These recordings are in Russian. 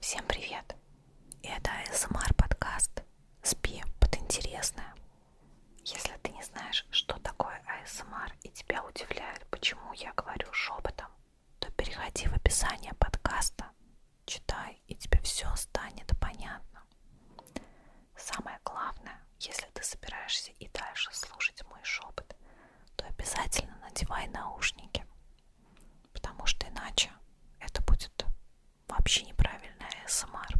Всем привет! Это СМР подкаст «Спи под интересное». Если ты не знаешь, что такое АСМР и тебя удивляет, почему я говорю шепотом, то переходи в описание подкаста, читай, и тебе все станет понятно. Самое главное, если ты собираешься и дальше слушать мой шепот, то обязательно надевай наушники, потому что иначе это будет вообще неправильная СМР.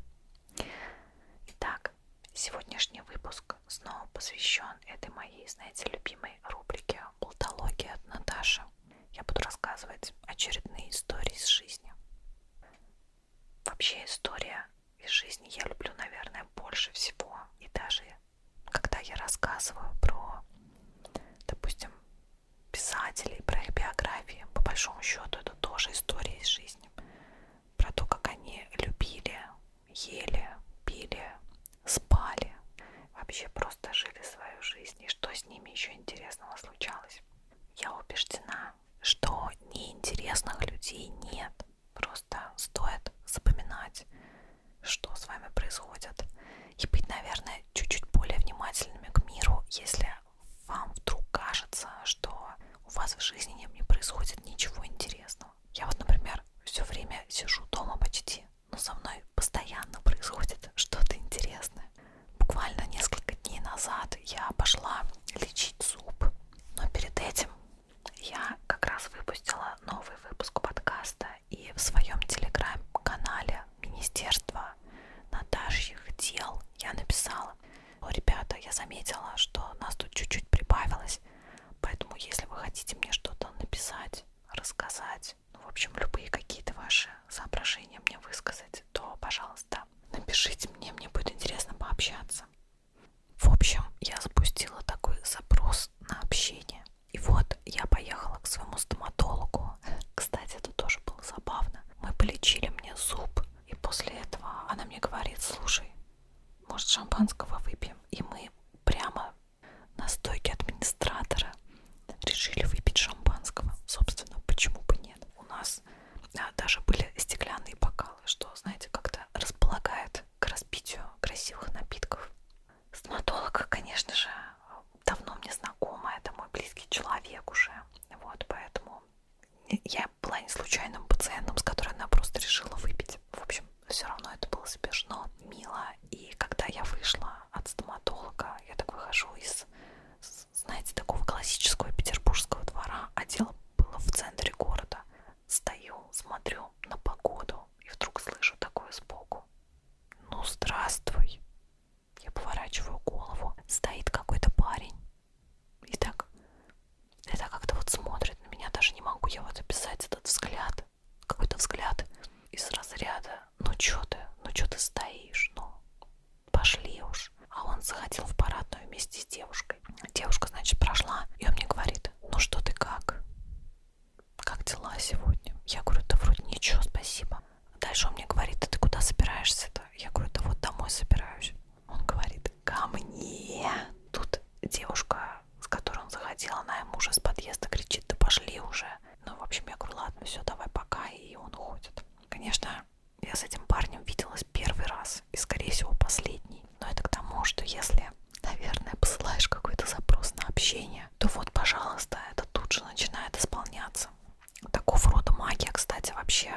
Итак, сегодняшний выпуск снова посвящен этой моей, знаете, любимой рубрике «Болтология от Наташи». Я буду рассказывать очередные истории из жизни. Вообще история из жизни я люблю, наверное, больше всего. И даже когда я рассказываю про, допустим, писателей, про их биографии, по большому счету это тоже история из жизни, про то, как они любили, ели, пили, спали, вообще просто жили свою жизнь, и что с ними еще интересного случалось. Я убеждена, что неинтересных людей нет. Просто стоит запоминать, что с вами происходит. И быть, наверное, чуть-чуть более внимательными к миру, если вам вдруг кажется, что у вас в жизни не происходит ничего интересного. Я вот, например, все время сижу дома почти, но со мной постоянно происходит что-то интересное. Буквально несколько дней назад я пошла лечить зуб, но перед этим я как раз выпустила новый выпуск подкаста и в своем телеграм-канале Министерства Наташьих дел я написала. Но, ребята, я заметила, что нас тут чуть-чуть прибавилось, поэтому если вы хотите мне что-то написать, рассказать, ну, в общем, любые какие-то ваши соображения мне высказать, то, пожалуйста, напишите мне, мне будет интересно пообщаться. В общем, я запустила такой запрос на общение. И вот я поехала к своему стоматологу. Кстати, это тоже было забавно. Мы полечили мне зуб. И после этого она мне говорит, слушай, может шампанского выпьем? И мы прямо на стойке администратора решили выпить шампанского. Собственно, почему бы нет? У нас а, даже были стеклянные бокалы, что, знаете, как-то располагает к распитию красивых напитков. Стоматолог, конечно же, давно мне знакома, это мой близкий человек уже, вот, поэтому я была не случайным пациентом, с которой она просто решила выпить. В общем, все равно это было смешно, мило. И когда я вышла от стоматолога, я так выхожу из, знаете, такого классического петербургского двора, а дело было в центре города. Стою, смотрю на погоду и вдруг слышу такое сбоку. Ну, здравствуй. Я поворачиваю голову. Стоит какой-то парень. И так, и так как-то вот смотрит на меня. Даже не могу я вот описать этот взгляд. Какой-то взгляд из разряда. Ну, чё ты? Ну, чё ты стоишь? Ну, пошли уж. А он заходил в парадную вместе с девушкой. Девушка, значит, прошла. И он мне говорит, ну что ты как? как дела сегодня? Я говорю, да вроде ничего, спасибо. Дальше он мне говорит, да ты куда собираешься-то? Я говорю, да вот домой собираюсь. Он говорит, ко мне. Тут девушка, с которой он заходил, она ему уже с подъезда кричит, да пошли уже. Ну, в общем, я говорю, ладно, все, давай пока, и он уходит. Конечно, я с этим парнем виделась первый раз, и, скорее всего, последний изменений. Но это к тому, что если, наверное, посылаешь какой-то запрос на общение, то вот, пожалуйста, это тут же начинает исполняться. Такого рода магия, кстати, вообще,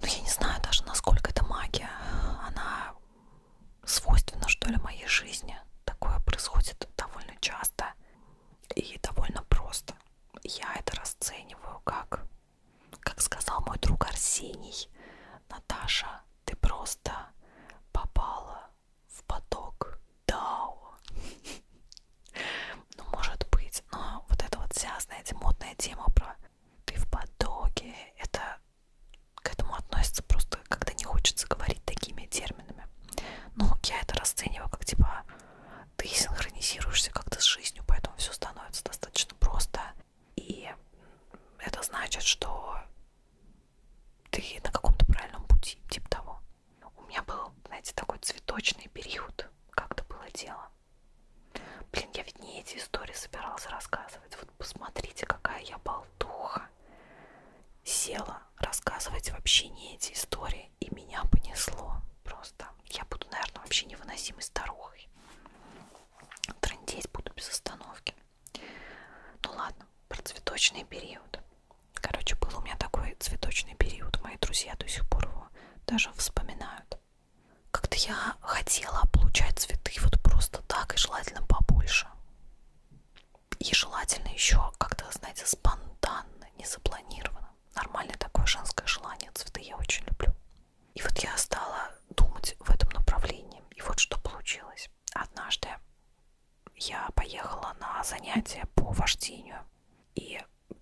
ну я не знаю даже, насколько это магия, она свойственна, что ли, моей жизни. Такое происходит довольно часто и довольно просто. Я это расцениваю как, как сказал мой друг Арсений, Наташа, ты просто попала в поток Дао. Ну, может быть, но вот эта вот вся, знаете, модная тема про ты в потоке, это к этому относится просто, когда не хочется говорить такими терминами. Ну, я это расцениваю как типа ты синхронизируешься как-то с жизнью, поэтому все становится достаточно просто. И это значит, что ты на каком-то правильном пути, типа того. У меня был, знаете, такой цветочный период, как-то было дело. Блин, я ведь не эти истории собиралась рассказывать. Вот посмотрите, какая я болтуха. Села рассказывать вообще не эти истории, и меня понесло просто. Я буду, наверное, вообще невыносимой старухой. Трындеть буду без остановки. Ну ладно, про цветочный период. Короче, был у меня такой цветочный период. Мои друзья до сих пор его даже вспоминают. Как-то я хотела получать цветы вот просто так и желательно побольше. И желательно еще как-то, знаете, спонтанно, не запланированно. Нормальное такое женское желание. Цветы я очень люблю. И вот я стала думать в этом направлении. И вот что получилось. Однажды я поехала на занятия по вождению. И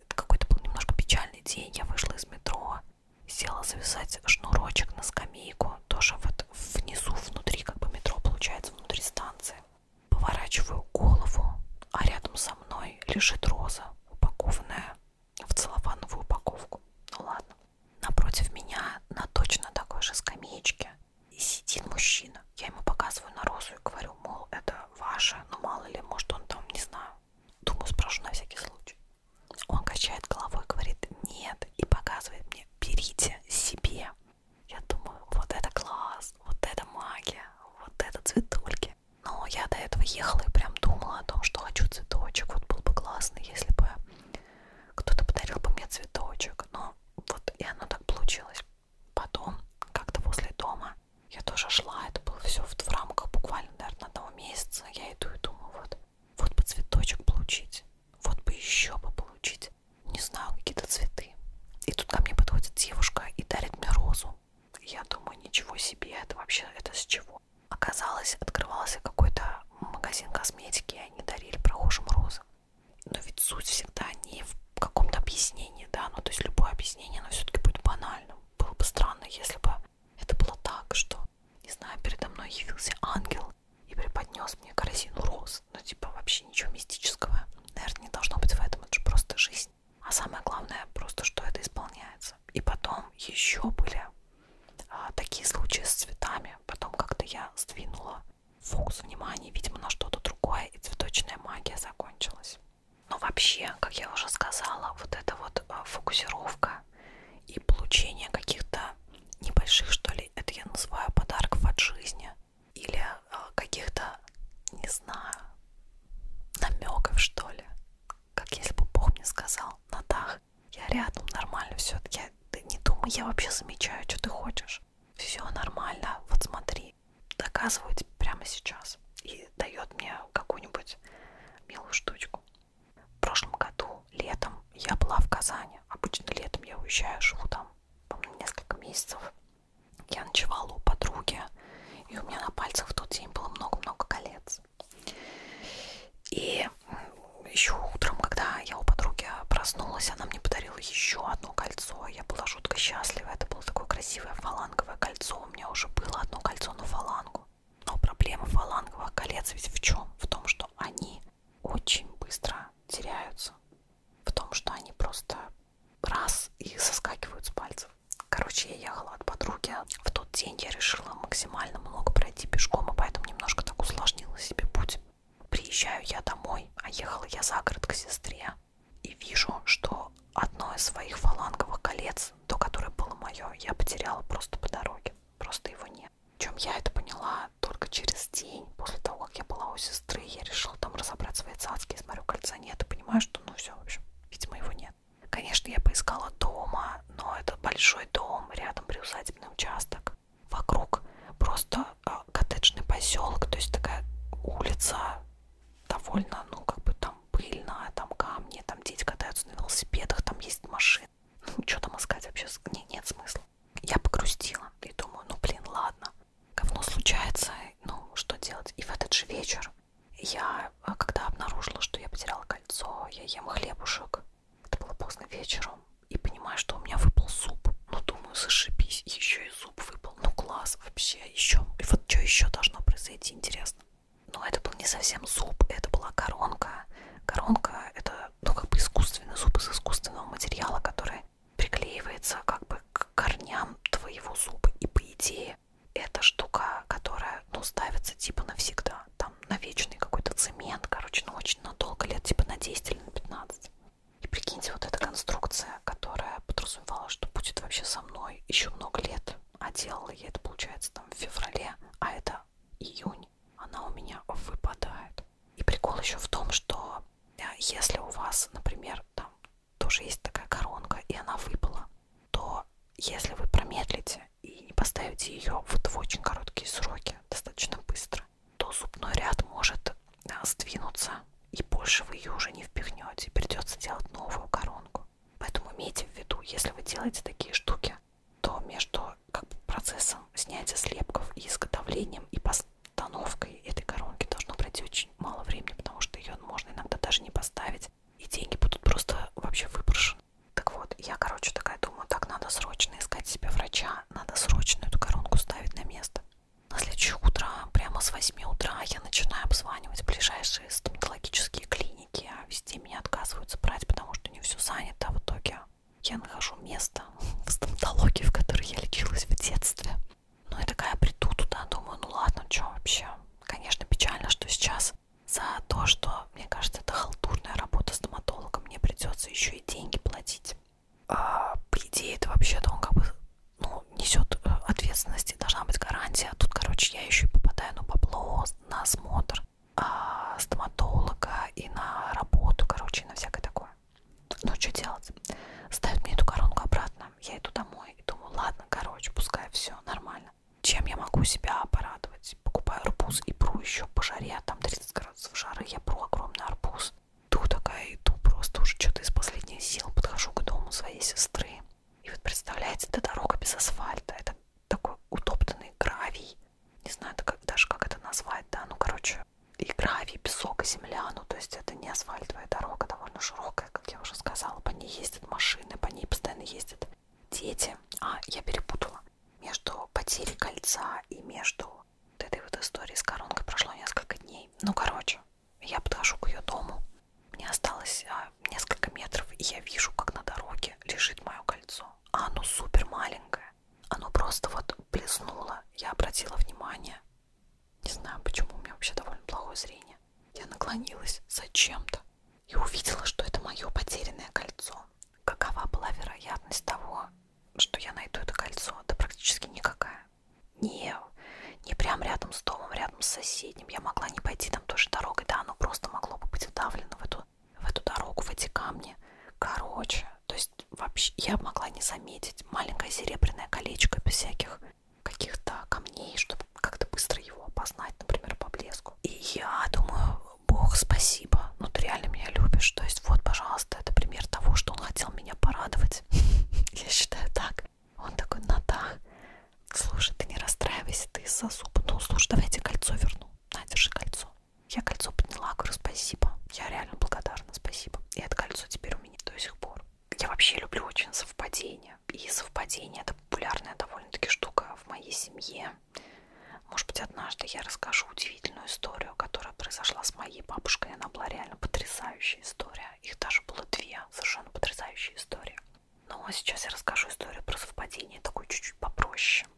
какой-то был немножко печальный день. Я вышла из метро, села завязать шнурочек на скамейку. Тоже вот внизу, внутри, как бы метро получается, внутри станции. Поворачиваю голову, а рядом со мной лежит роза, упакованная в целлофановую упаковку. Ну ладно. Напротив меня на точно такой же скамеечке сидит мужчина. Я ему показываю на розу и говорю, мол, это ваше, но ну, мало ли, может он там, не знаю. Думаю, спрошу на всякий случай. Он качает головой, говорит, нет, и показывает мне, берите себе. Я думаю, вот это класс, вот это магия, вот это цветульки. Но я до этого ехала и прям думала о том, что хочу цветочек, вот был бы классно, если бы кто-то подарил бы мне цветочек, но вот и оно так получилось. Потом, как-то возле дома, я тоже шла, это было все в, в рамках буквально, наверное, одного месяца. Я иду и думаю, вот, вот бы цветочек получить, вот бы еще бы получить, не знаю, какие-то цветы. И тут ко мне подходит девушка и дарит мне розу. Я думаю, ничего себе, это вообще, это с чего? Оказалось, открывался какой-то магазин косметики, и они дарили прохожим розы. Но ведь суть всегда не в каком-то объяснении, да, ну то есть любое объяснение, оно все-таки будет банальным. Было бы странно, если бы это было так, что, не знаю, передо мной явился ангел и преподнес мне корзину роз. Ну типа вообще ничего мистического, наверное, не должно быть в этом, это же просто жизнь. А самое главное просто, что это исполняется. И потом еще были а, такие случаи с цветами. Потом как-то я сдвинула фокус внимания, видимо, на что-то другое, и цветочная магия закончилась. Но вообще, как я уже сказала, вот эта вот а, фокусировка и получение каких-то небольших, что ли, это я называю подарков от жизни, или а, каких-то, не знаю, намеков, что ли. Как если бы Бог мне сказал, Натаха, так, я рядом, нормально все, я, ты не думай, я вообще замечаю, что ты хочешь, все нормально, вот смотри, доказываю тебе прямо сейчас и дает мне какую-нибудь милую штучку. В прошлом году летом я была в Казани, обычно летом я уезжаю, живу там, по-моему, несколько месяцев, я ночевала у подруги, и у меня на пальцах в тот день было много-много колец. И еще утром, когда я у подруги проснулась, она мне подарила еще одно кольцо. Я была жутко счастлива. Это было такое красивое фаланговое кольцо. У меня уже было одно кольцо на фалангу. Но проблема фаланговых колец ведь в чем? В том, что они очень быстро теряются. В том, что они просто раз и соскакивают с пальцев. Короче, я ехала от подруги. В тот день я решила максимально много пройти пешком, и поэтому немножко так усложнила себе путь. Приезжаю я домой, а ехала я за город к сестре, и вижу, что одно из своих фаланговых колец, то, которое было мое, я потеряла просто по дороге, просто его нет. Чем я это поняла только через день, после того, как я была у сестры, я решила там разобрать свои цацки, смотрю, кольца нет, и понимаю, что ну все, в общем, видимо, его нет. Конечно, я поискала дома, но это большой дом, рядом приусадебный участок вокруг просто э, коттеджный поселок, то есть такая улица довольно, ну, как бы там пыльная, там камни, там дети катаются на велосипедах, там есть машины. Ну, что там искать вообще? Не, нет смысла. Я погрустила и думаю, ну, блин, ладно, говно случается, ну, что делать? И в этот же вечер я, э, когда обнаружила, что я потеряла кольцо, я ем хлебушек, это было поздно вечером. И понимаю, что у меня выпал зуб. Ну, думаю, зашибись. Еще и зуб выпал. Ну, класс вообще. Еще. И вот что еще должно произойти, интересно. Но ну, это был не совсем зуб, это была коронка. Коронка это, ну, как бы искусственный зуб из искусственного материала, который приклеивается как бы к корням твоего зуба. И по идее, эта штука, которая, ну, ставится типа навсегда там на вечный какой-то цемент, короче, ну очень надолго, лет типа на 10 или на 15. И прикиньте, вот эта конструкция, которая подразумевала, что будет вообще со мной еще много лет, а делала я это, получается, там в феврале, а это июнь, она у меня выпадает. И прикол еще в том, что э, если у вас, например, там тоже есть такая коронка, и она выпала, то если вы промедлите и не поставите ее вот в очень короткие сроки, достаточно быстро, то зубной ряд может а, сдвинуться, и больше вы ее уже не впихнете, придется делать новую коронку. Поэтому имейте в виду, если вы делаете такие штуки, то между как бы, процессом снятия слепков и изготовлением и постановкой этой коронки должно пройти очень мало времени, потому что ее можно иногда даже не поставить, и деньги будут просто вообще выброшены. Так вот, я, короче, такая думаю, так надо срочно искать себе врача, надо срочно эту коронку ставить на место. На следующее утро, прямо с 8 утра, я начинаю обзванивать ближайшие стоматологические клиники, а везде меня отказываются брать, потому что не все занято. А в итоге я нахожу место в стоматологии, в которой я лечилась в детстве. Ну и такая приду туда, думаю, ну ладно, что вообще. Конечно, печально, что сейчас за то, что, мне кажется, это халтурная работа стоматолога, мне придется еще еще и деньги платить. А, по идее, это вообще-то он как бы ну, несет э, ответственности, должна быть гарантия. Тут, короче, я еще и попадаю на бабло, на осмотр а, стоматолога и на работу, короче, и на всякое такое. Ну, что делать? Ставят мне эту коронку обратно. Я иду домой и думаю, ладно, короче, пускай все нормально. Чем я могу себя порадовать? есть покупаю арбуз и пру еще по жаре, а там 30 градусов жары, я пру огромный арбуз. Иду такая, иду просто уже что-то из последних сил, подхожу к дому своей сестры. И вот представляете, это дорога без асфальта, это такой утоптанный гравий. Не знаю как, даже, как это назвать, да, ну, короче, и гравий, песок, и земля, ну, то есть это не асфальтовая дорога, довольно широкая, как я уже сказала, по ней ездят машины, по ней постоянно ездят дети. А, я перепутала между потерей кольца и между вот этой вот историей с коронкой прошло несколько дней. Ну, короче, я подхожу к ее дому. Мне осталось а, несколько метров, и я вижу, как на дороге лежит мое кольцо. А оно супер маленькое. Оно просто вот блеснуло. Я обратила внимание. Не знаю, почему у меня вообще довольно плохое зрение. Я наклонилась зачем-то и увидела, что это мое потерянное кольцо. Какова была вероятность того, что я найду это кольцо? Да практически никакая. Не, не прям рядом с домом, рядом с соседним. Я могла не пойти там той же дорогой, да, оно просто могло бы быть вдавлено в эту, в эту дорогу, в эти камни. Короче, то есть вообще я могла не заметить маленькое серебряное колечко без всяких каких-то камней, чтобы как-то быстро его опознать, например, по блеску. И я думаю, Бог, спасибо, ну ты реально меня любишь. То есть вот, пожалуйста, это пример того, что он хотел меня порадовать. Я считаю так. Он такой, ну да, слушай, ты не расстраивайся, ты из-за зуба. Ну, слушай, давай я тебе кольцо верну. На, держи кольцо. Я кольцо подняла, говорю, спасибо. Я реально благодарна, спасибо. И это кольцо теперь у меня до сих пор. Я вообще люблю очень совпадения. И совпадение это популярная довольно-таки штука в моей семье. Может быть, однажды я расскажу удивительную историю, которая произошла с моей бабушкой. Она была реально потрясающая история. Их даже было две совершенно потрясающие истории. Но сейчас я расскажу историю про совпадение, такой чуть-чуть попроще.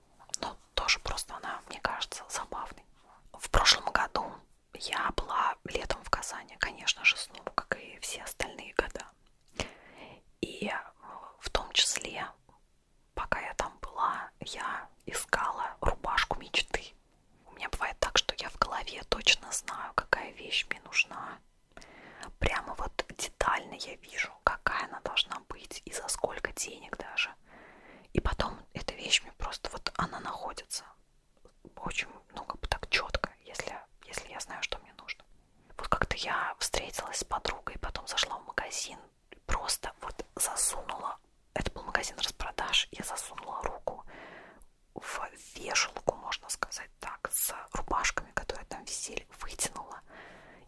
Но тоже просто она, мне кажется, забавной. В прошлом году я была летом в Казани, конечно же, снова, как и все остальные года. И в том числе Пока я там была, я искала рубашку мечты. У меня бывает так, что я в голове точно знаю, какая вещь мне нужна. Прямо вот детально я вижу, какая она должна быть и за сколько денег даже. И потом эта вещь мне просто вот она находится очень, ну как бы так четко, если, если я знаю, что мне нужно. Вот как-то я встретилась с подругой, потом зашла в магазин, просто вот засунула, это был магазин распродаж, я засунула руку в вешалку, можно сказать так, с рубашками, которые там висели, вытянула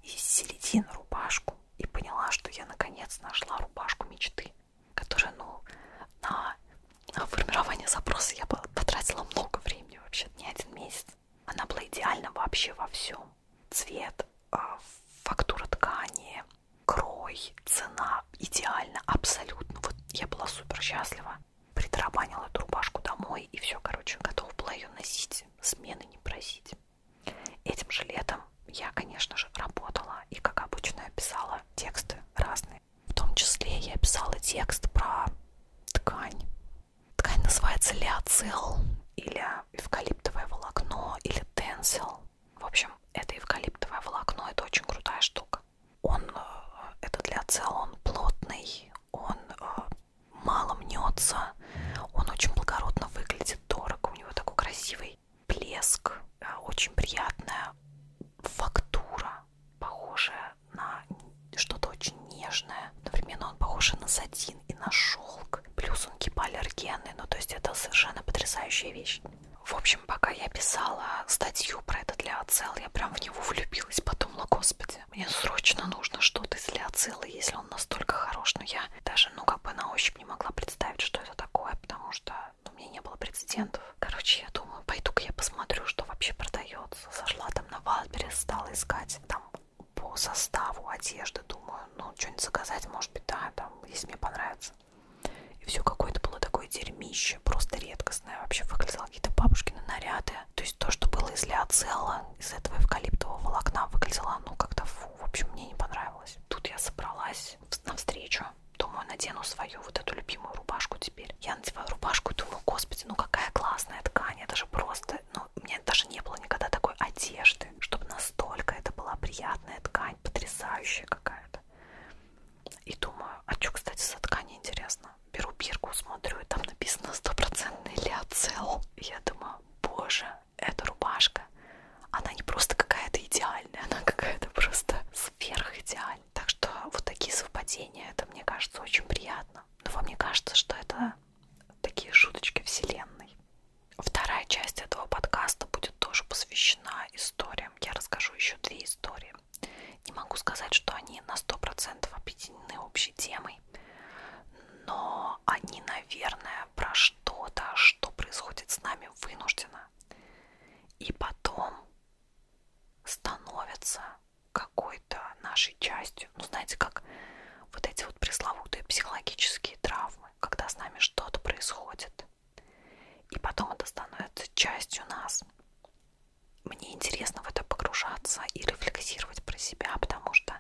из середины рубашку и поняла, что я наконец нашла рубашку мечты, которая, ну, на, на формирование запроса я потратила много времени вообще, не один месяц. Она была идеальна вообще во всем цвет, а, фактура ткани, крой, цена идеально, абсолютно. Вот я была супер счастлива. Притарабанила эту рубашку домой и все, короче, готова была ее носить, смены не просить. Этим же летом я, конечно же, работала и, как обычно, я писала тексты разные. В том числе я писала текст про ткань. Ткань называется леоцил или эвкалиптовое волокно или тенсил. В общем, это эвкалиптовое волокно, это очень крутая штука. Он, э, это для цела, он плотный, он э, мало мнется, он очень благородно выглядит, дорого, у него такой красивый блеск, э, очень приятная фактура, похожая на что-то очень нежное. Одновременно он похож на сатин муслин и на шелк. Плюс он гипоаллергенный, ну то есть это совершенно потрясающая вещь. В общем, пока я писала статью про это для Ацел, я прям в него влюбилась, подумала, ну, господи, мне срочно нужно что-то из для Ацела, если он настолько хорош, но я даже, ну как бы на ощупь не могла представить, что это такое, потому что ну, у меня не было прецедентов. Короче, я думаю, пойду-ка я посмотрю, что вообще продается. Зашла там на Валберес, стала искать, там по составу одежды, думаю, ну, что-нибудь заказать, может быть, да, там, если мне понравится. И все какое-то было такое дерьмище, просто редкостное. Вообще выглядело какие-то бабушкины наряды. То есть то, что было из лиоцела, из этого эвкалиптового волокна, выглядело, ну, как-то фу, в общем, мне не понравилось. Тут я собралась навстречу. Думаю, надену свою вот эту любимую рубашку теперь. Я надеваю рубашку и думаю, господи, ну какая классная ткань, это же просто, ну, ну, у меня даже не было никогда такой одежды, чтобы настолько это была приятная ткань, потрясающая какая-то. И думаю, а что, кстати, за ткань интересно? Беру бирку, смотрю, и там написано стопроцентный лиоцел. Я думаю, боже, эта рубашка, она не просто какая-то идеальная, она какая-то просто сверхидеальная. Так что вот такие совпадения, это, мне кажется, очень приятно. Но вам не кажется, что это такие шуточки вселенной? Вторая часть этого подкаста будет тоже посвящена историям. Я расскажу еще две истории. Не могу сказать, что они на 100% объединены общей темой, но они, наверное, про что-то, что происходит с нами вынужденно, и потом становится какой-то нашей частью полностью. Ну, знаете, как вот эти вот пресловутые психологические травмы, когда с нами что-то происходит, и потом это становится частью нас. Мне интересно в это погружаться и рефлексировать про себя, потому что,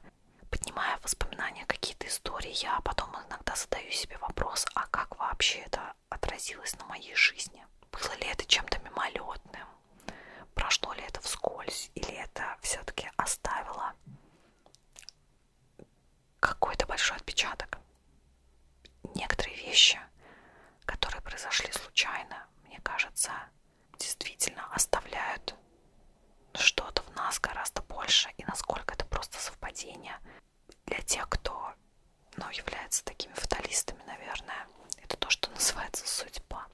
поднимая воспоминания, какие-то истории, я потом иногда задаю себе вопрос, а как вообще это отразилось на моей жизни? Было ли это чем-то мимолетным? Прошло ли это вскользь? Или это все-таки оставило какой-то большой отпечаток. Некоторые вещи, которые произошли случайно, мне кажется, действительно оставляют что-то в нас гораздо больше, и насколько это просто совпадение для тех, кто ну, является такими фаталистами, наверное. Это то, что называется судьба.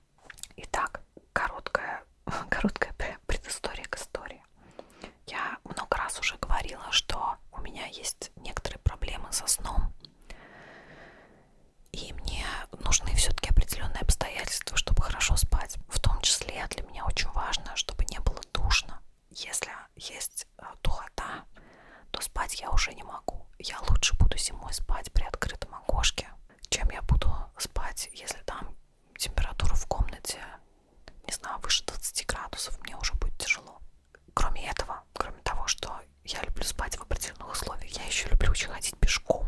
Итак, короткая, короткая предыстория к истории. Я много раз уже говорила, что у меня есть некоторые проблемы со сном. И мне нужны все-таки определенные обстоятельства, чтобы хорошо спать. В том числе для меня очень важно, чтобы не было душно. Если есть э, духота, то спать я уже не могу. Я лучше буду зимой спать при открытом окошке, чем я буду спать, если там температуру в комнате, не знаю, выше 20 градусов, мне уже будет тяжело. Кроме этого, кроме того, что я люблю спать в определенных условиях, я еще люблю очень ходить пешком.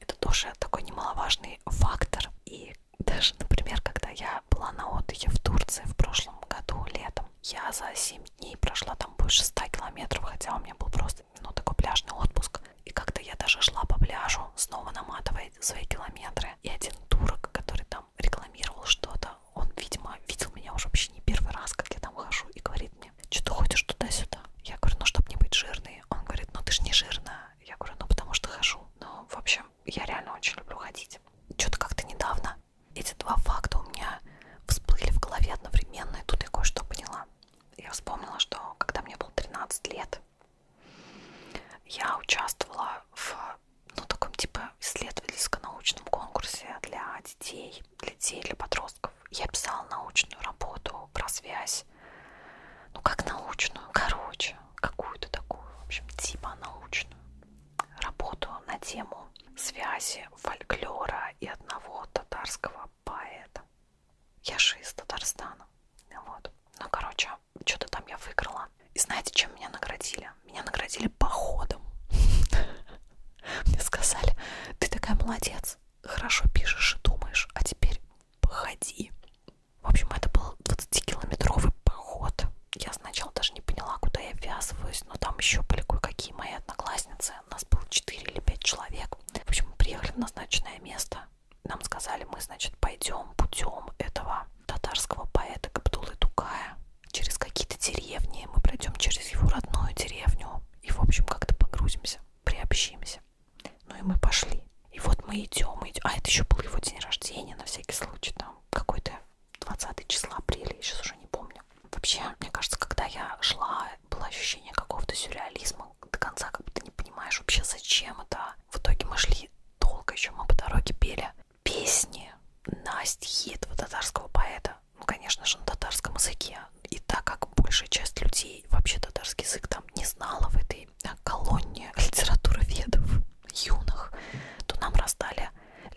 Это тоже такой немаловажный фактор. И даже, например, когда я была на отдыхе в Турции в прошлом году летом, я за 7 дней прошла там больше 100 километров, хотя у меня был просто ну, такой пляжный отпуск. И как-то я даже шла по пляжу, снова наматывая свои километры. И один турок, который там рекламировал что-то, он, видимо, видел меня уже вообще не первый раз, как я там хожу, и говорит мне, что ты ходишь туда-сюда? Я говорю, ну, чтобы не быть жирной. Он говорит, ну, ты ж не жирная. Я говорю, ну, потому что хожу. Ну, в общем, я реально очень люблю ходить. Что-то как-то недавно эти два факта у меня всплыли в голове одновременно, и тут я кое-что поняла. Я вспомнила, что когда мне было 13 лет, я участвовала в ну, таком типа исследовательско-научном конкурсе для детей, для детей, для подростков. Я писала научную работу про связь, ну как научную, короче, какую-то такую, в общем, типа научную работу на тему связи фольклора и одного татарского поэта. Я же из Татарстана. Вот. Ну, короче, что-то там я выиграла. И знаете, чем меня наградили? Меня наградили походом. Мне сказали, ты такая молодец, хорошо пишешь и думаешь, а теперь походи. В общем, это был 20-километровый поход. Я сначала даже не поняла, куда я ввязываюсь, но там еще были кое-какие мои одноклассницы. Нас было 4 или 5 человек. В общем, мы приехали в назначенное место. Нам сказали, мы, значит, пойдем путем этого татарского поэта Габдулы Тукая через какие-то деревни, мы пройдем через его родную деревню и, в общем, как-то погрузимся, приобщимся. Ну и мы пошли. И вот мы идем, идем. А это еще был его день рождения, на всякий случай, там, какой-то 20 числа апреля, я сейчас уже не помню. Вообще, мне кажется, когда я шла, было ощущение какого-то сюрреализма, до конца как будто не понимаешь вообще, зачем это, в итоге мы шли долго еще, мы по дороге пели песни на стихи этого татарского поэта. Ну, конечно же, на татарском языке. И так как большая часть людей вообще татарский язык там не знала в этой э, колонне литературы ведов юных, то нам раздали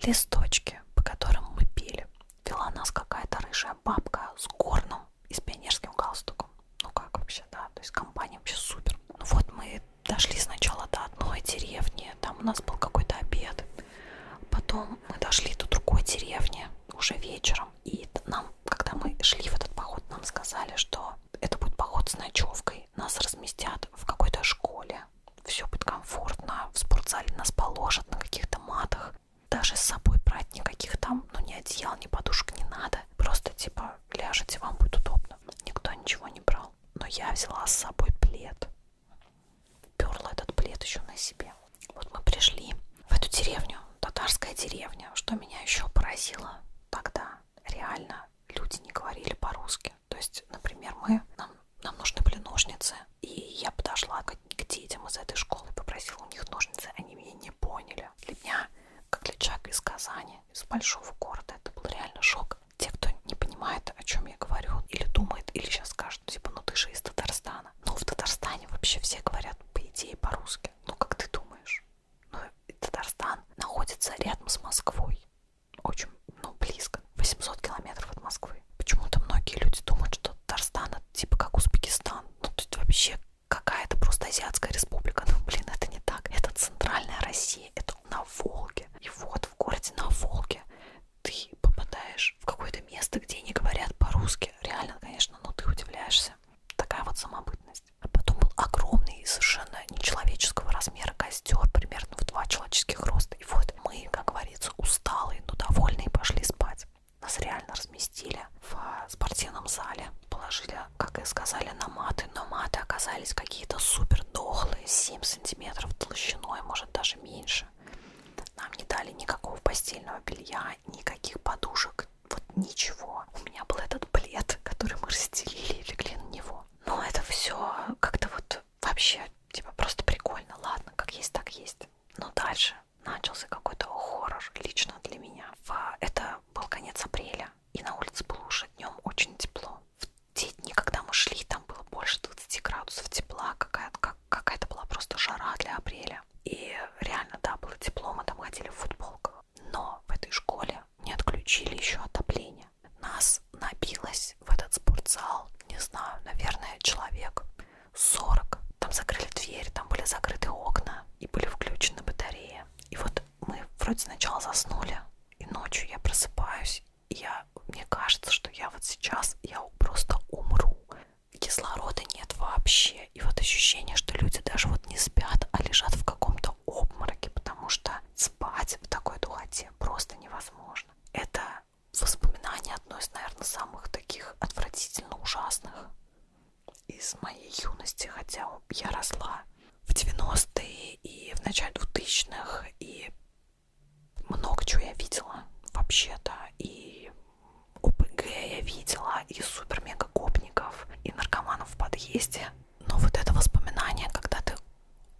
листочки, по которым мы пели. Вела нас какая-то рыжая бабка с горном ну, и с пионерским галстуком. Ну как вообще, да, то есть компания вообще супер. Ну вот мы дошли сначала до одной деревни, там у нас был какой-то обед. Потом мы дошли до другой деревни уже вечером. И нам, когда мы шли в этот поход, нам сказали, что это будет поход с ночевкой. Нас разместят в какой-то школе. Все будет комфортно. В спортзале нас положат на каких-то матах. Даже с собой брать никаких там, ну, ни одеял, ни подушек не надо. Просто типа ляжете, вам будет удобно. Никто ничего не брал. Но я взяла с собой плед. Перла этот плед еще на себе. Вот мы пришли в эту деревню, татарская деревня. Что меня еще поразило тогда, реально, люди не говорили по-русски. То есть, например, мы, нам, нам нужны были ножницы. И я подошла к, к детям из этой школы, попросила у них ножницы. Они меня не поняли неделю. Для меня, как для человека из Казани, из большого города, это был реально шок. Те, кто не понимает, о чем я говорю, или думает, или сейчас скажут, типа, ну ты же из Татарстана. Но ну, в Татарстане вообще все говорят, по идее, по-русски. Ну, как ты думаешь? Ну, Татарстан находится рядом с Москвой. Очень, ну, близко. 800 километров от Москвы. Почему-то многие люди думают, что Татарстан это типа как Узбекистан. Ну, тут вообще какая-то просто азиатская республика. Ну, блин, это не так. Это центральная Россия, это на Волге. И вот в городе на Волге ты попадаешь в какое-то место, где не говорят по-русски. Реально, конечно, но ты удивляешься. Такая вот самобытность. А потом был огромный и совершенно нечеловеческого размера костер, примерно в два человеческих роста. И вот мы, как говорится, усталые, но довольные пошли спать. Нас реально разместили в э, спортивном зале, положили как и сказали, на маты, но маты оказались какие-то супер дохлые, 7 сантиметров толщиной, может даже меньше. Нам не дали никакого постельного белья, никаких подушек, вот ничего. У меня был этот плед, который мы расстелили и легли на него. Но ну, это все как-то вот вообще, типа, просто прикольно. Ладно, как есть, так есть. Но дальше начался какой-то хоррор лично для меня. Это был конец апреля, и на улице было уже днем очень тепло. В те дни, когда мы шли, там было больше 20 градусов тепла, какая-то как, какая была просто жара для апреля. И реально, да, было тепло, мы там ходили в футболках. Но в этой школе не отключили еще отопление. Нас набилось в этот спортзал, не знаю, наверное, человек 40. Там закрыли дверь, там были закрыты окна и были включены батареи. И вот мы вроде сначала заснули, и ночью я просыпаюсь, и я, мне кажется, что я вот сейчас, я просто умру. Кислорода нет вообще. И вот ощущение, что люди даже вот не спят, а лежат в каком-то обмороке, потому что спать в такой духоте просто невозможно. Это воспоминание одно из, наверное, самых таких отвратительно ужасных из моей юности, хотя я росла в 90-е и в начале 2000-х, и много чего я видела вообще-то, и ОПГ я видела, и супер-мега-гопников, и наркоманов в подъезде. Но вот это воспоминание, когда ты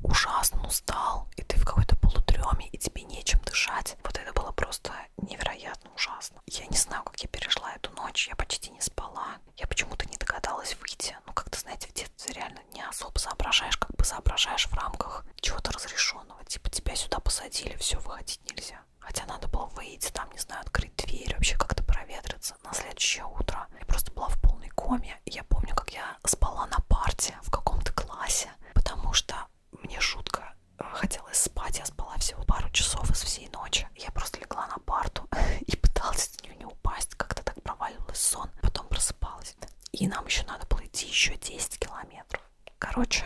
ужасно устал, и ты в какой-то полутреме, и тебе нечем дышать, вот это было просто невероятно ужасно, ужасно. Я не знаю, как я пережила эту ночь, я почти не спала. Я почему-то не догадалась выйти. Ну, как-то, знаете, в детстве реально не особо соображаешь, как бы соображаешь в рамках чего-то разрешенного. Типа тебя сюда посадили, все, выходить нельзя. Хотя надо было выйти, там, не знаю, открыть дверь, вообще как-то проветриться. На следующее утро я просто была в полной коме. Я помню, как я спала на парте в каком-то классе, потому что мне жутко э, хотелось спать. Я спала всего пару часов из всей ночи. Я просто легла на парту и пыталась с нее не упасть, как-то так проваливалась сон, потом просыпалась. И нам еще надо было идти еще 10 километров. Короче,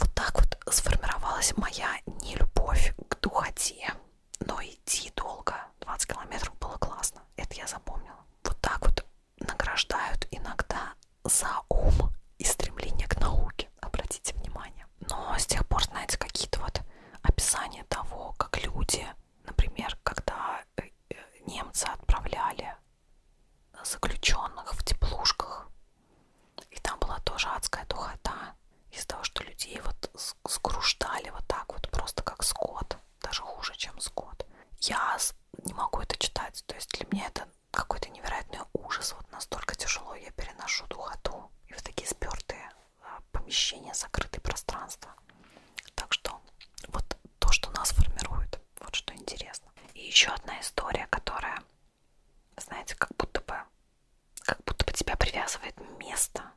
вот так вот сформировалась моя нелюбовь к духоте. Но идти долго, 20 километров было классно, это я запомнила. Вот так вот награждают иногда за ум и стремление к науке, обратите внимание но с тех пор, знаете, какие-то вот описания того, как люди, например, когда э, э, немцы отправляли заключенных в теплушках, и там была тоже адская духота, из-за того, что людей вот сгруждали вот так вот, просто как скот, даже хуже, чем скот. Я не могу это читать, то есть для меня это какой-то невероятный ужас, вот настолько тяжело я переношу духоту ну, и в такие спертые а, помещения, закрытые пространства. Так что вот то, что нас формирует, вот что интересно. И еще одна история, которая, знаете, как будто бы, как будто бы тебя привязывает место.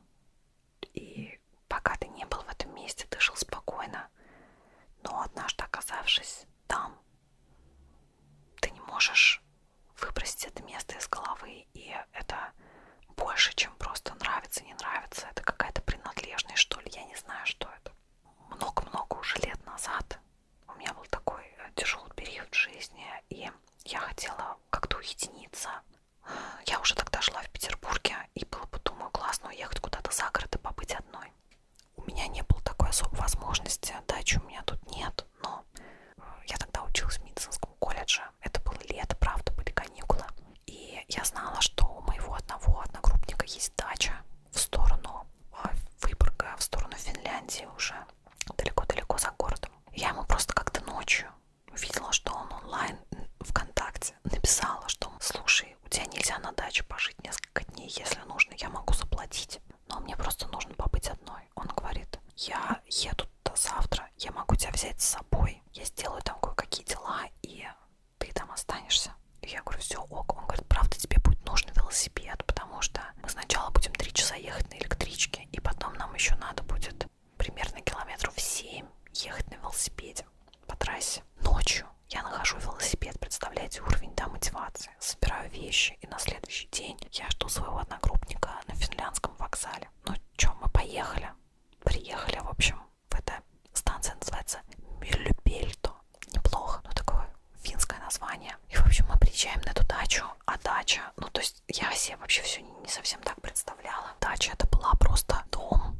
И пока ты не был в этом месте, ты жил спокойно. Но однажды оказавшись там, ты не можешь выбросить это место из головы, и это больше, чем просто нравится, не нравится. Это какая-то принадлежность, что ли, я не знаю, что это. Много-много уже лет назад у меня был такой э, тяжелый период в жизни, и я хотела как-то уединиться. Я уже тогда жила в Петербурге, и было бы, думаю, классно уехать куда-то за город и побыть одной. У меня не было такой особой возможности, дачи у меня тут нет, год, но я тогда училась в медицинском колледже, это было лето, правда, были каникулы, и я знала, что у моего одного одногруппника есть дача в сторону а, Выборга, в сторону Финляндии уже, далеко-далеко за городом. Я ему просто как-то ночью увидела, что он онлайн ВКонтакте, написала, что слушай, у тебя нельзя на даче пожить несколько дней, если нужно, я могу заплатить, но мне просто нужно побыть одной мной. Он говорит, я еду туда завтра, я могу тебя взять с собой, я сделаю там кое-какие дела, и ты там останешься. И я говорю, все, ок. Он говорит, правда, тебе будет нужен велосипед, потому что мы сначала будем три часа ехать на электричке, и потом нам еще надо будет примерно километров 7 ехать на велосипеде по трассе. Ночью я нахожу велосипед, представляете, уровень да, мотивации собираю вещи, и на следующий день я жду своего одногруппника на финляндском вокзале. Ну чё, мы поехали. Приехали, в общем, в эта станция называется Мюллюпельто. Неплохо, ну такое финское название. И, в общем, мы приезжаем на эту дачу, а дача, ну то есть я себе вообще все не совсем так представляла. Дача это была просто дом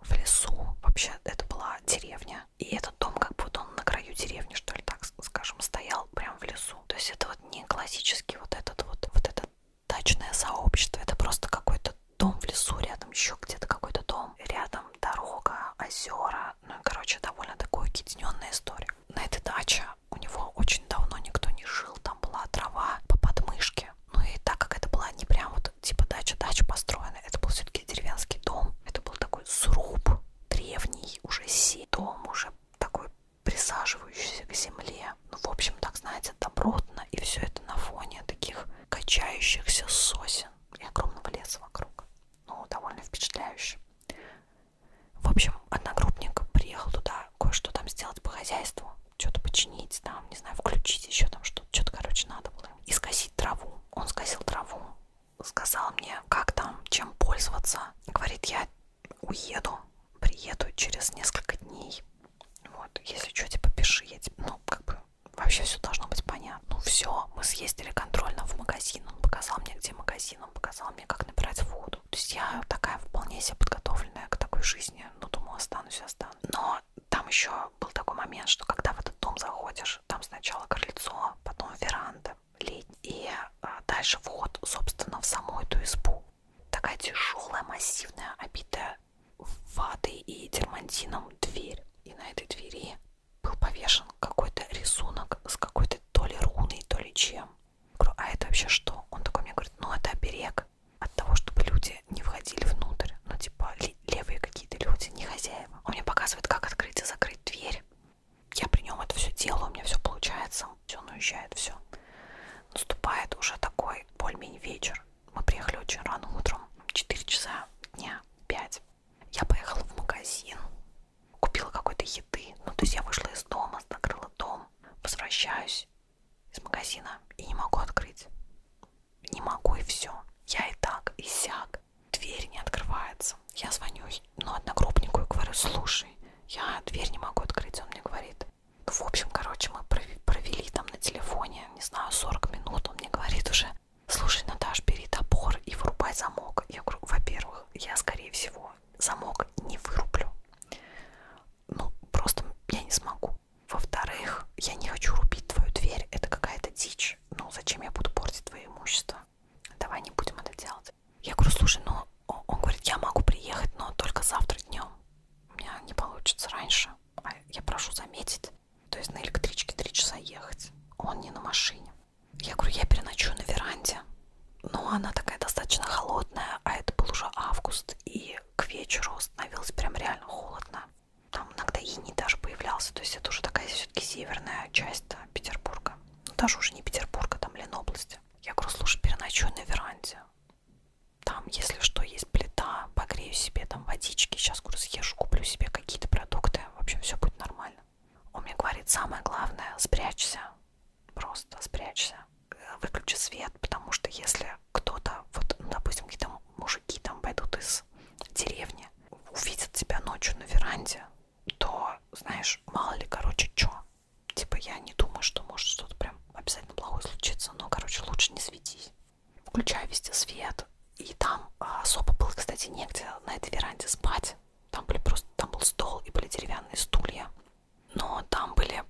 в лесу. Вообще, это была деревня. И этот дом, как будто он на краю деревни, что ли, так так скажем, стоял прям в лесу. То есть это вот не классический вот этот вот, вот это дачное сообщество, это просто какой-то дом в лесу, рядом еще где-то какой-то дом, рядом дорога, озера, ну, короче, довольно такая уединенная история. На этой даче у него очень давно никто не жил, там была трава по подмышке. Ну и так как это была не прям вот типа дача-дача построена, это был все-таки деревенский дом, это был такой сруб древний, уже сеть, дом уже такой присаживающийся к земле. Ну, в общем, так, знаете, добротно. И все это на фоне таких качающихся сосен и огромного леса вокруг. Ну, довольно впечатляюще. В общем, одногруппник приехал туда кое-что там сделать по хозяйству. Что-то починить там, не знаю, включить еще там что-то. Что-то, короче, надо было. И скосить траву. Он скосил траву сказал мне, как там, чем пользоваться. Говорит, я уеду, приеду через несколько дней. Вот, если что, типа, пиши, я тебе, ну, как бы, вообще все должно быть понятно. Ну, все, мы съездили контрольно в магазин, он показал мне, где магазин, он показал мне, как набирать воду. То есть я такая вполне себе подготовленная к такой жизни, ну, думала, останусь, останусь. Но там еще был такой момент, что когда в этот дом заходишь, там сначала крыльцо, потом веранда, летний. И а, дальше вход, собственно, в саму эту избу. Такая тяжелая, массивная, обитая ватой и дермантином дверь. И на этой двери был повешен какой-то рисунок с какой-то то ли руной, то ли чем. Я говорю, а это вообще что? Он такой мне говорит, ну это оберег от того, чтобы люди не входили внутрь. Ну типа левые какие-то люди, не хозяева. Он мне показывает, как открыть и закрыть дверь я при нем это все делаю, у меня все получается, он уезжает, все. Наступает уже такой более-менее вечер. Мы приехали очень рано утром, 4 часа дня, 5. Я поехала в магазин, купила какой-то еды. Ну, то есть я вышла из дома, закрыла дом, возвращаюсь из магазина и не могу открыть. Не могу и все. Я и так, и сяк. Дверь не открывается. Я звоню ну, одногруппнику и говорю, слушай, я дверь не могу открыть. Он мне говорит, ну, в общем, короче, мы провели там на телефоне, не знаю, 40 минут. Он мне говорит уже, слушай, Наташ, бери топор и вырубай замок. Я говорю, во-первых, я, скорее всего, замок не вырублю. Ну, просто я не смогу. Во-вторых, я не хочу рубить твою дверь, это какая-то дичь. Ну, зачем я буду портить твое имущество? Давай не будем это делать. Я говорю, слушай, ну, он говорит, я могу приехать, но только завтра днем. У меня не получится раньше. А я прошу заметить, то есть на электричке три часа ехать. Он не на машине. Я говорю, я переночую на веранде. Но она такая достаточно холодная, а это был уже август, и к вечеру становилось прям реально холодно. Там иногда иней даже появлялся, то есть это уже такая все-таки северная часть Петербурга ну, даже уже не Петербурга, там Ленобласти. Я говорю, слушай, переночую на веранде. Там, если что, есть плита, погрею себе там водички. Сейчас, говорю, съезжу, куплю себе какие-то продукты. В общем, все будет нормально. Он мне говорит, самое главное, спрячься. Просто спрячься. Выключи свет, потому что если кто-то, вот, ну, допустим, какие-то мужики там пойдут из деревни, увидят тебя ночью на веранде, то, знаешь, мало ли, короче, чё. Типа я не думаю, что может что-то прям обязательно плохое случится, но, короче, лучше не светись. Включаю везде свет, и там а, особо было, кстати, негде на этой веранде спать. Там были просто, там был стол и были деревянные стулья, но там были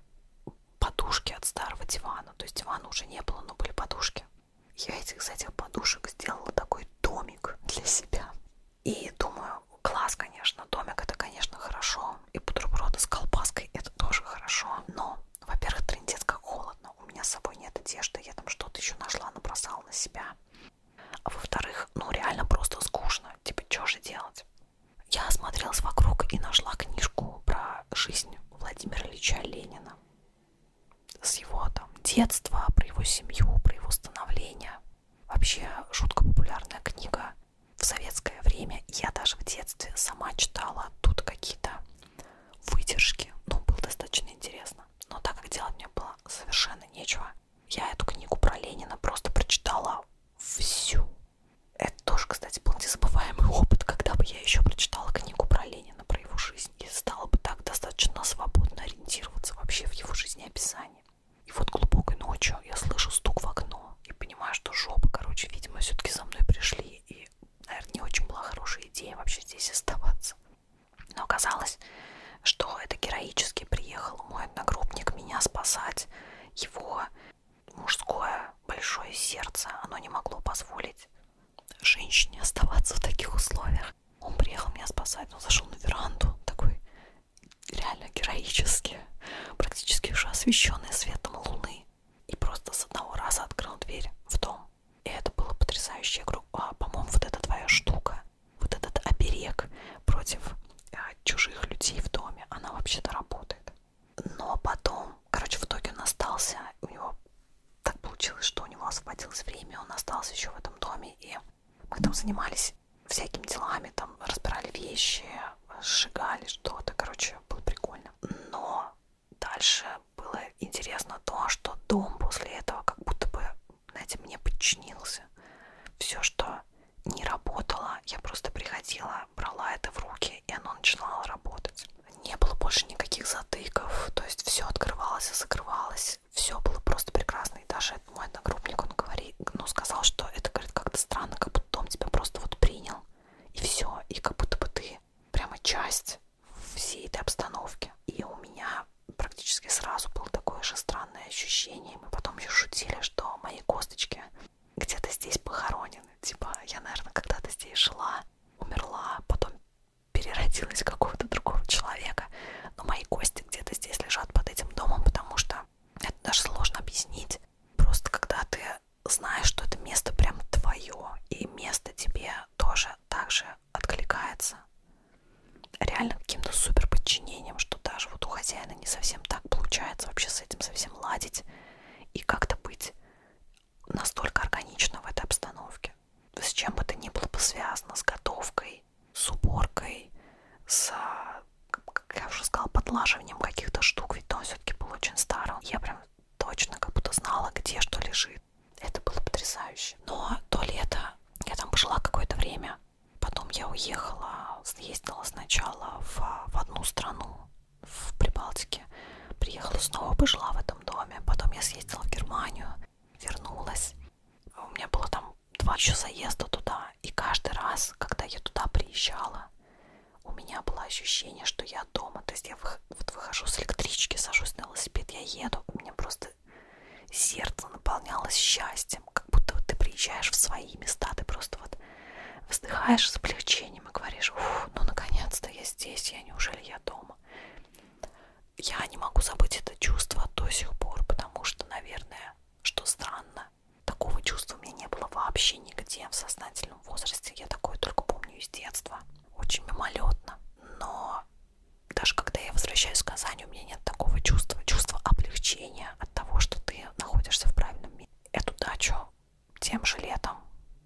подушки от старого дивана, то есть дивана уже не было, но были подушки. Я этих, из этих подушек сделала такой домик для себя. И думаю, класс, конечно, домик это, конечно, хорошо. И бутерброды с колбаской это тоже хорошо. Но, во-первых, трындец как холодно. У меня с собой нет одежды, я там что-то еще нашла, набросала на себя. А во-вторых, ну реально просто скучно. Типа, что же делать? Я осмотрелась вокруг и нашла книжку про жизнь Владимира Ильича Ленина. С его там детства, про его семью, про его становление. Вообще жутко популярная книга в советское время. Я даже в детстве сама читала тут какие-то вытяжки. Ну, было достаточно интересно. Но так как делать мне было совершенно нечего, я эту книгу про Ленина просто прочитала всю. Это тоже, кстати, был незабываемый опыт, когда бы я еще прочитала книгу про Ленина, про его жизнь, и стала бы так достаточно свободно ориентироваться вообще в его жизнеописании. И вот глубокой ночью я слышу стук в окно и понимаю, что жопа, короче, видимо, все-таки за мной пришли. И, наверное, не очень была хорошая идея вообще здесь оставаться. Но оказалось, что это героически приехал мой одногруппник меня спасать. Его мужское большое сердце, оно не могло позволить женщине оставаться в таких условиях. Он приехал меня спасать, он зашел на веранду, такой реально героически, практически уже освещенные светом луны. И просто с одного раза открыл дверь в дом. И это было потрясающе. Я говорю, а, по-моему, вот эта твоя штука, вот этот оберег против а, чужих людей в доме, она вообще-то работает. Но потом, короче, в итоге он остался, у него так получилось, что у него освободилось время, он остался еще в этом доме, и мы там занимались всякими делами, там разбирали вещи, сжигали что-то, короче, было прикольно. Но дальше было интересно то, что дом после этого как будто бы, знаете, мне подчинился. Все, что не работало, я просто приходила, брала это в руки, и оно начинало работать. Не было больше никаких затыков, то есть все открывалось и закрывалось здесь все было просто прекрасно. И даже мой одногруппник, он говорит, ну, сказал, что это, говорит, как-то странно, как будто дом тебя просто вот принял. И все. И как будто бы ты прямо часть всей этой обстановки. И у меня практически сразу было такое же странное ощущение. Мы потом еще шутили, что мои косточки где-то здесь похоронены. Типа, я, наверное, когда-то здесь жила, умерла, потом переродилась в какого-то другого человека. Но мои кости части где-то здесь лежат под этим домом, потому что это даже сложно объяснить. Просто когда ты знаешь, что это место прям твое, и место тебе тоже так же откликается. Реально каким-то супер подчинением, что даже вот у хозяина не совсем так получается вообще с этим совсем ладить и как-то быть настолько органично в этой обстановке. С чем бы это ни было бы связано, с готовкой, с уборкой, с, как я уже сказала, подлаживанием каких-то штук, ведь он все-таки был очень старым. Я прям точно как будто знала, где что лежит. Это было потрясающе. Но то лето я там пожила какое-то время. Потом я уехала, съездила сначала в, в одну страну, в Прибалтике. Приехала снова, пожила в этом доме. Потом я съездила в Германию, вернулась. А у меня было там два еще заезда туда, и каждый раз, когда я туда приезжала, у меня было ощущение, что я дома. То есть я вот выхожу с электрички, сажусь на велосипед, я еду. У меня просто сердце наполнялось счастьем, как будто вот ты приезжаешь в свои места, ты просто вот вздыхаешь с облегчением и говоришь, ну наконец-то я здесь, я неужели я дома? я не могу забыть это чувство до сих пор, потому что, наверное, что странно, такого чувства у меня не было вообще нигде в сознательном возрасте. Я такое только помню из детства, очень мимолетно. Но даже когда я возвращаюсь в Казань, у меня нет такого чувства, чувства облегчения от того, что ты находишься в правильном месте. Эту дачу тем же летом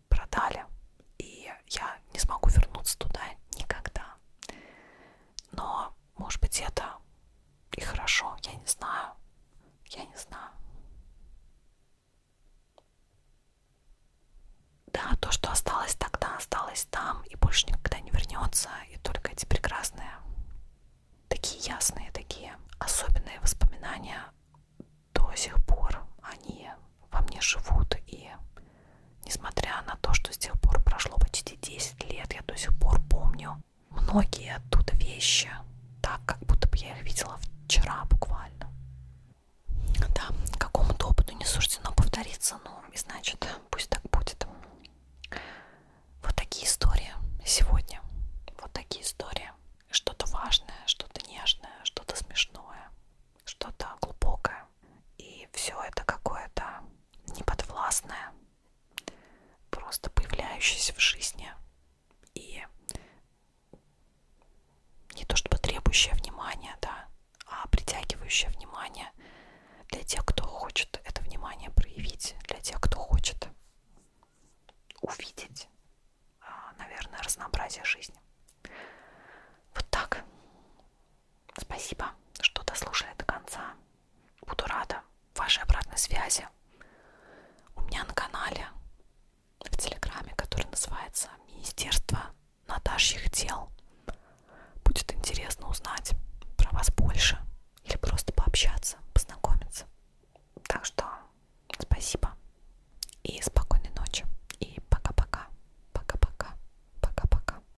продали, и я не смогу вернуться туда никогда. Но, может быть, это и хорошо, я не знаю. Я не знаю. Да, то, что осталось тогда, осталось там и больше никогда не вернется. И только эти прекрасные, такие ясные, такие особенные воспоминания до сих пор, они во мне живут и Несмотря на то, что с тех пор прошло почти 10 лет, я до сих пор помню многие оттуда вещи, так как будто бы я их видела вчера буквально. Да, какому-то опыту не суждено повториться, но и значит, пусть так будет. Вот такие истории сегодня. Вот такие истории. Что-то важное, что-то нежное, что-то смешное, что-то глубокое. И все это какое-то неподвластное, просто появляющееся в жизни и не то чтобы требующее внимания, да, а притягивающее внимание для тех, кто хочет это внимание проявить, для тех, кто хочет увидеть, а, наверное, разнообразие жизни. Вот так. Спасибо, что дослушали до конца. Буду рада вашей обратной связи. У меня на канале в Телеграме, который называется Министерство Наташьих дел. Будет интересно узнать про вас больше или просто пообщаться, познакомиться. Так что спасибо и спокойной ночи. И пока-пока. Пока-пока. Пока-пока.